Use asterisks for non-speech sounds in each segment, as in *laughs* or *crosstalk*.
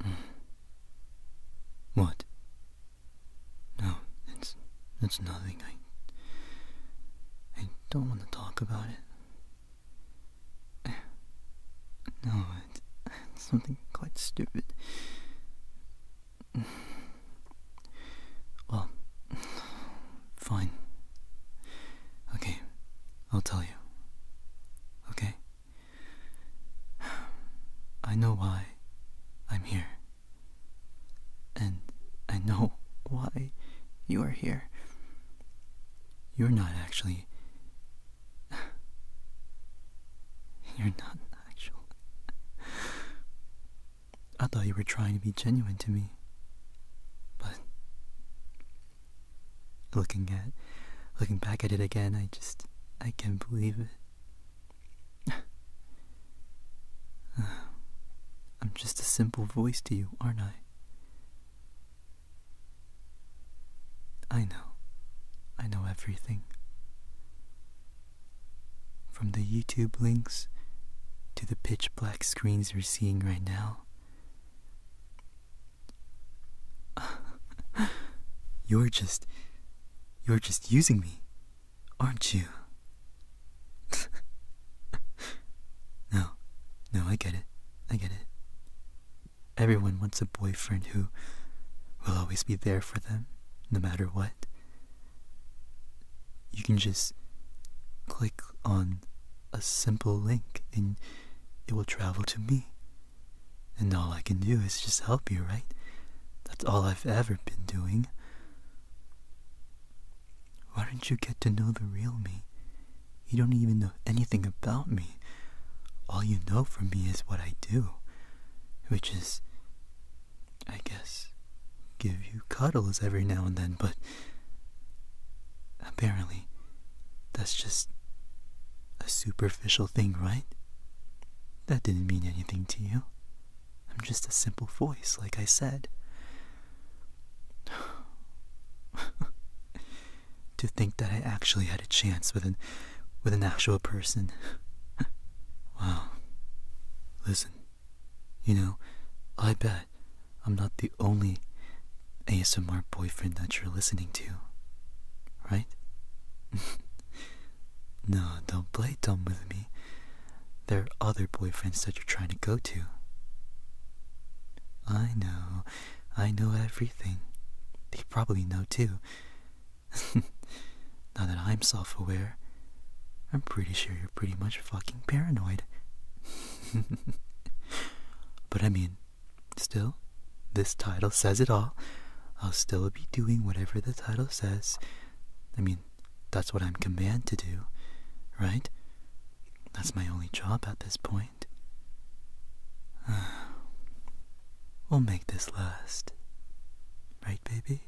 *sighs* What? No, it's it's nothing. I I don't want to talk about it. *sighs* No, it's, something quite stupid. *sighs* Well, fine. Okay, I'll tell you. Okay? I know why I'm here. And I know *laughs* why you are here. You're not actually. *laughs* You're not actually. I thought you were trying to be genuine to me. But Looking at, looking back at it again, I just, I can't believe it. *sighs* I'm just a simple voice to you, aren't I? I know. I know everything. From the YouTube links to the pitch black screens you're seeing right now, *laughs* you're just. You're just using me, aren't you? *laughs* no, no, I get it. I get it. Everyone wants a boyfriend who will always be there for them, no matter what. You can just click on a simple link and it will travel to me. And all I can do is just help you, right? That's all I've ever been doing. Why don't you get to know the real me? You don't even know anything about me. All you know from me is what I do, which is I guess, give you cuddles every now and then, but apparently that's just a superficial thing, right? That didn't mean anything to you. I'm just a simple voice, like I said. *sighs* to think that I actually had a chance with an with an actual person. *laughs* wow. Listen. You know, I bet I'm not the only ASMR boyfriend that you're listening to, right? *laughs* no, don't play dumb with me. There are other boyfriends that you're trying to go to. I know, I know everything. They probably know too. *laughs* Now that I'm self aware, I'm pretty sure you're pretty much fucking paranoid. *laughs* but I mean, still, this title says it all. I'll still be doing whatever the title says. I mean, that's what I'm commanded to do, right? That's my only job at this point. *sighs* we'll make this last. Right, baby?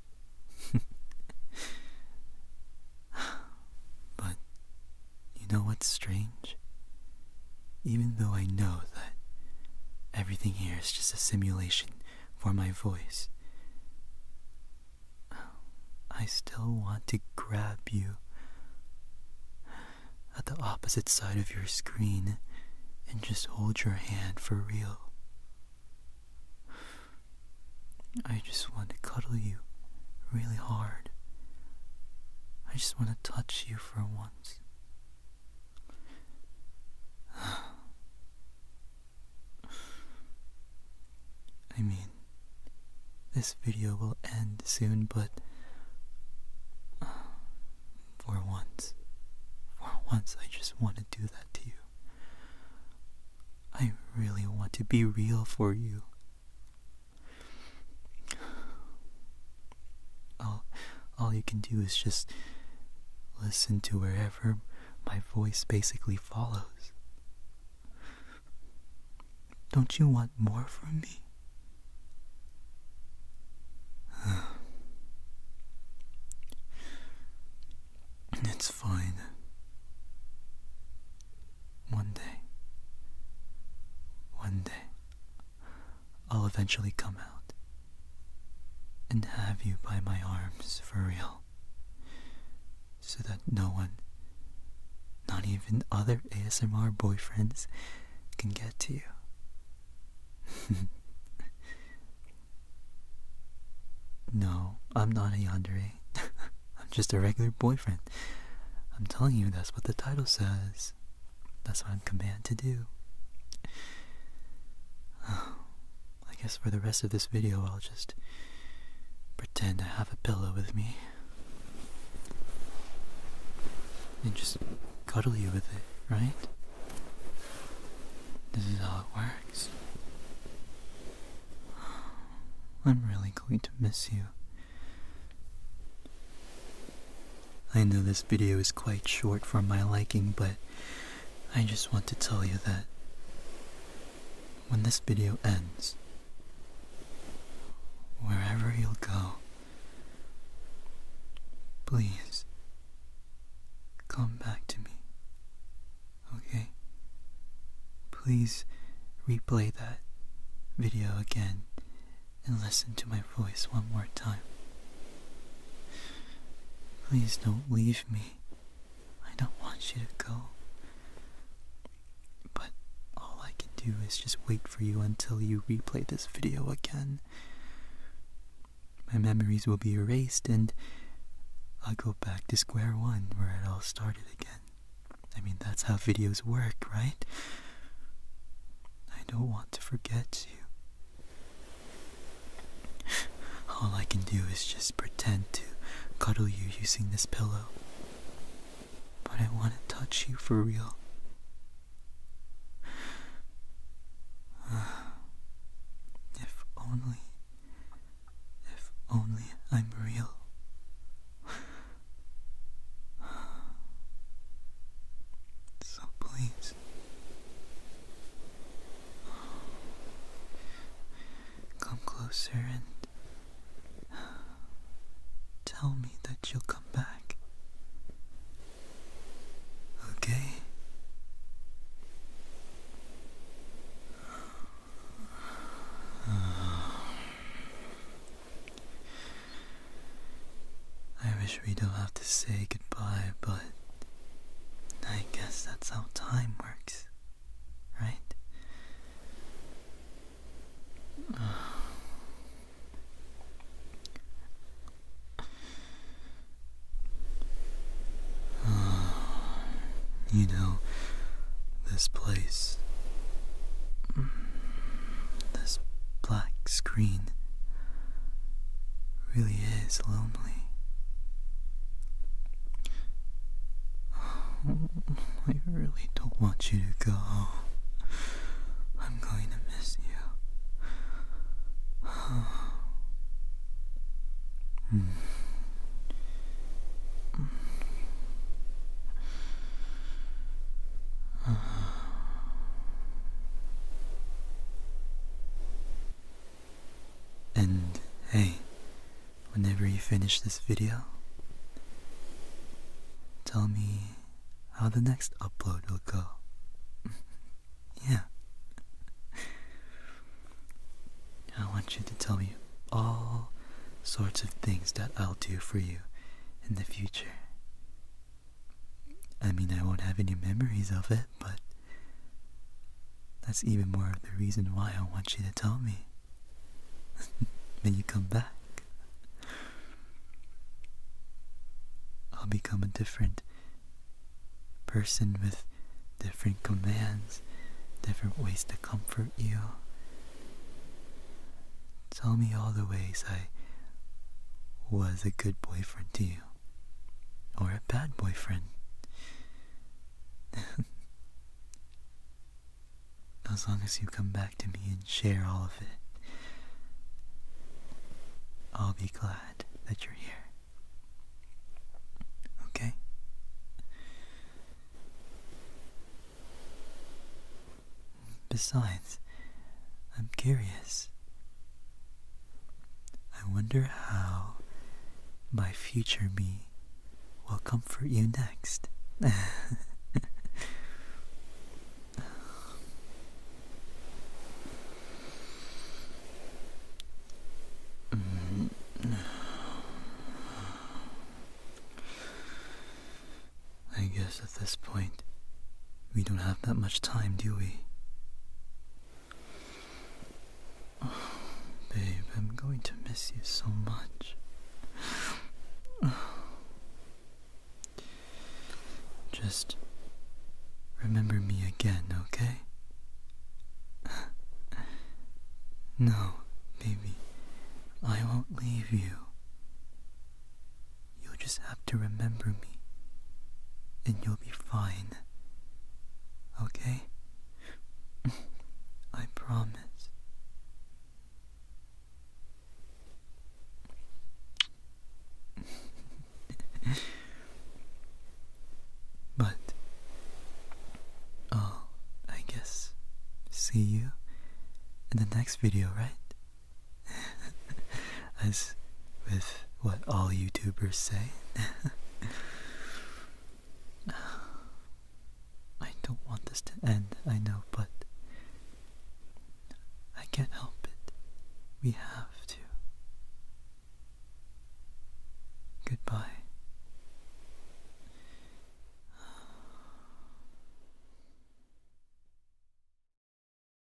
*laughs* but you know what's strange? Even though I know that everything here is just a simulation for my voice, I still want to grab you at the opposite side of your screen and just hold your hand for real. I just want to cuddle you really hard. I just want to touch you for once. *sighs* I mean, this video will end soon, but for once, for once, I just want to do that to you. I really want to be real for you. All, all you can do is just listen to wherever my voice basically follows. Don't you want more from me? *sighs* It's fine. One day, one day, I'll eventually come out and have you by my arms for real, so that no one, not even other ASMR boyfriends, can get to you. *laughs* no, I'm not a yandere. *laughs* I'm just a regular boyfriend. I'm telling you, that's what the title says. That's what I'm commanded to do. *sighs* I guess for the rest of this video, I'll just pretend I have a pillow with me. And just cuddle you with it, right? This is how it works. I'm really going to miss you. I know this video is quite short for my liking, but I just want to tell you that when this video ends, wherever you'll go, Please, come back to me. Okay? Please replay that video again and listen to my voice one more time. Please don't leave me. I don't want you to go. But all I can do is just wait for you until you replay this video again. My memories will be erased and I'll go back to square one where it all started again. I mean, that's how videos work, right? I don't want to forget you. All I can do is just pretend to cuddle you using this pillow. But I want to touch you for real. *sighs* If only, if only I'm real. *sighs* So please. *sighs* Come closer and *sighs* Tell me that you'll come back. Okay? *sighs* I wish we don't have to say goodbye, but I guess that's how time works, right? *sighs* You know, this place, this black screen, really is lonely. *sighs* Oh. I really don't want you to go. I'm going to miss you. And hey, whenever you finish this video, tell me how the next upload will go. *laughs* yeah. I want you to tell me all sorts of things that I'll do for you in the future. I mean, I won't have any memories of it, but that's even more of the reason why I want you to tell me *laughs* when you come back. I'll become a different person with different commands, different ways to comfort you. Tell me all the ways I was a good boyfriend to you, or a bad boyfriend. *laughs* as long as you come back to me and share all of it, I'll be glad that you're here. Okay? Besides, I'm curious. I wonder how my future me will comfort you next. I guess at this point, we don't have that much time, do we? babe, I'm going to miss you so much. Just remember me again, okay? no, baby, I won't leave you. You'll just have to remember me, and you'll be fine. Okay? *laughs* I promise. *laughs* but i I guess, see you in the next video, right? *laughs* as with what all YouTubers say. *laughs* I don't want this to end, I know, but I can't help it. We have to. Goodbye.